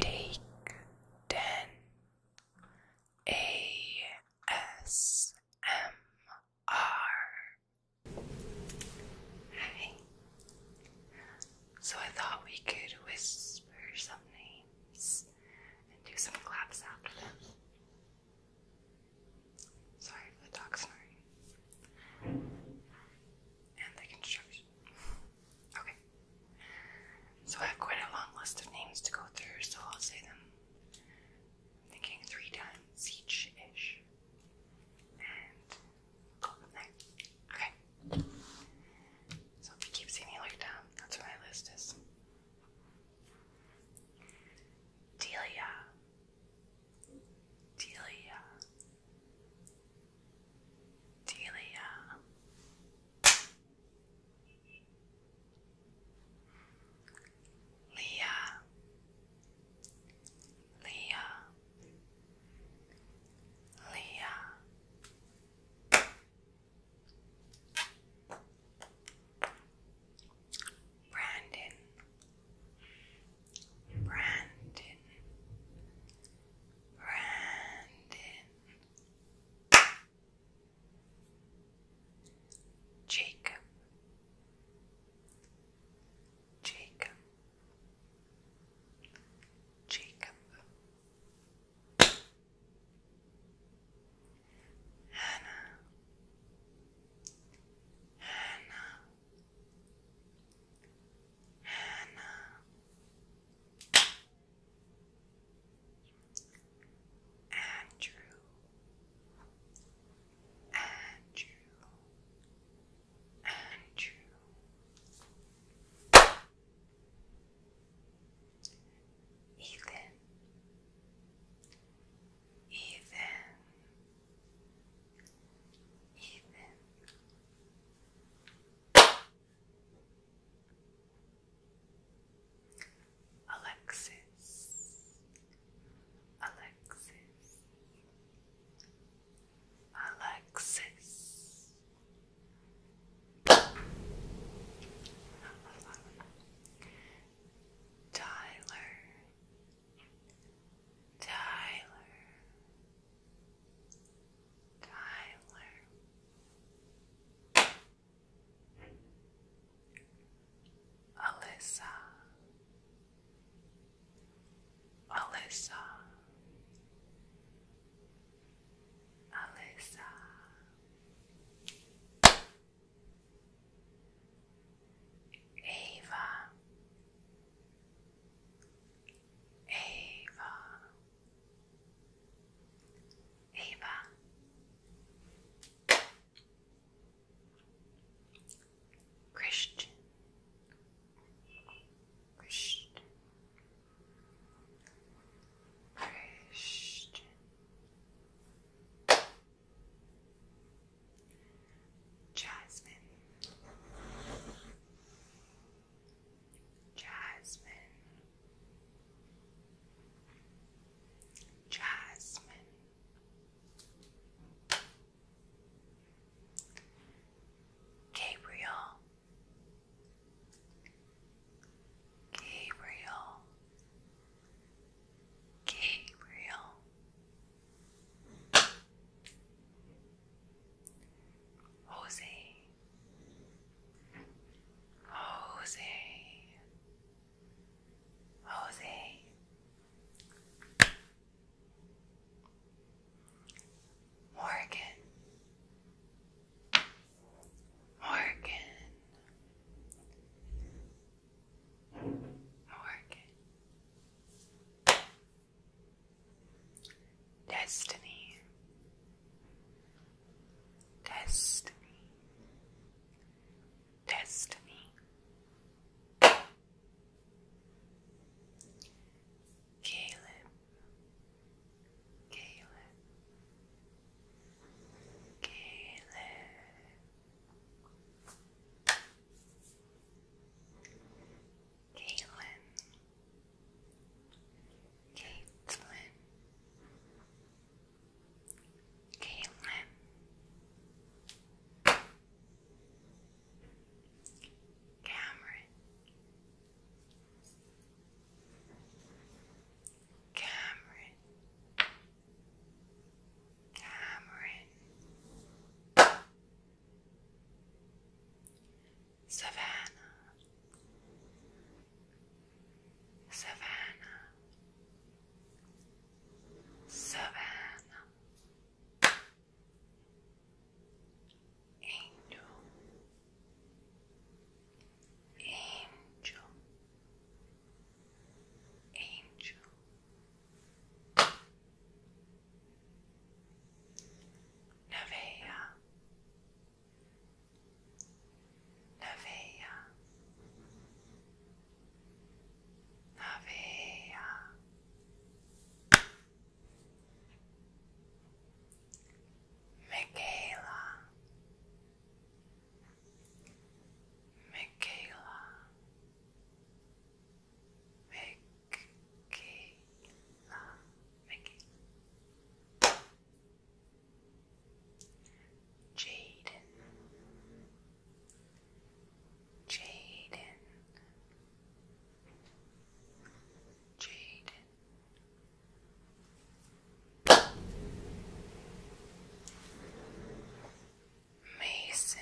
Take 10 ASMR. Hi. So I thought we could whisper some names and do some claps after them. Sorry for the dog snoring and the construction. Okay. So I have quite a long list of names to go through, so I'll say them. I'm thinking three times each ish. And go Okay. So if you keep seeing me like that, that's what my list is. Delia. Delia. Delia. Leah, Leah, Leah, Brandon, Brandon, Brandon, Jacob, Jacob, Jacob, Hannah, Hannah. Hannah, Andrew, Andrew, Andrew, Ethan, Ethan even. Alexis, Alexis, Alexis. Tyler, Tyler, Tyler, Alyssa, Alyssa, Alyssa. Ava, Eva, Eva, Christian, Christian. Christian. Jasmine, Jasmine, Jasmine, Gabriel, Gabriel. Gabriel, Jose, Jose, Jose. Morgan, Morgan, Morgan, Destiny, Destiny, Destiny, Caleb, Caleb, Caleb. Caitlin, Caitlin, Caitlin, Cameron, Cameron hammer Savannah, Savannah, Savannah, Angel, Angel, Angel. Nevea Nevea Nevea Michaela Michaela Mickey, um, Mickey, Jaden, Jaden. Jaden Mason,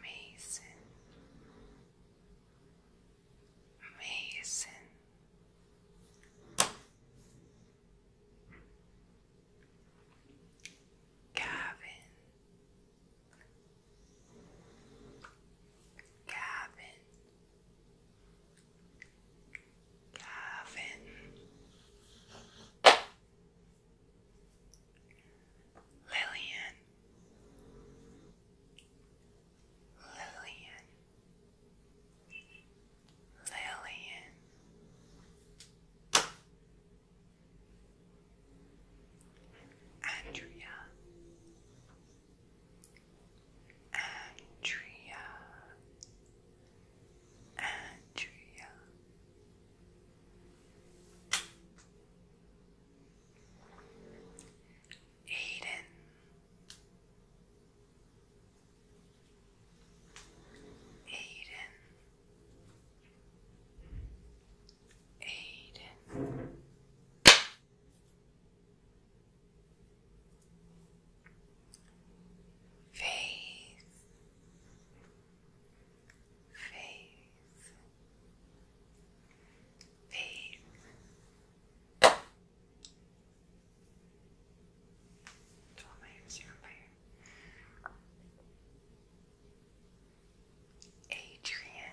Mason, Mason. Gavin, Gavin, Gavin Lillian Lillian Lillian Andrea Andrea Andrea. Aiden. Aiden. Aiden. Faith, faith, faith. Twelve layers, Adrian, Adrian,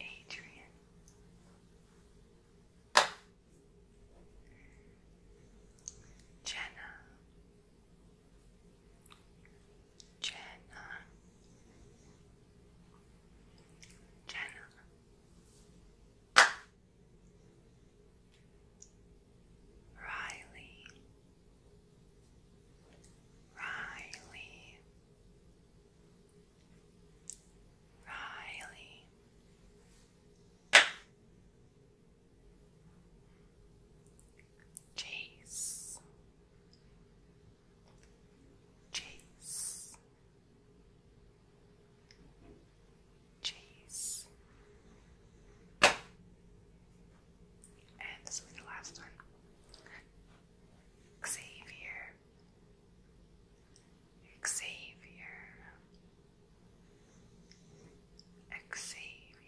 Adrian. Jenna. Jenna. Jenna. Riley. Riley, Riley. Chase, Chase, Chase, and this will be the last one. Xavier. Xavier. Xavier.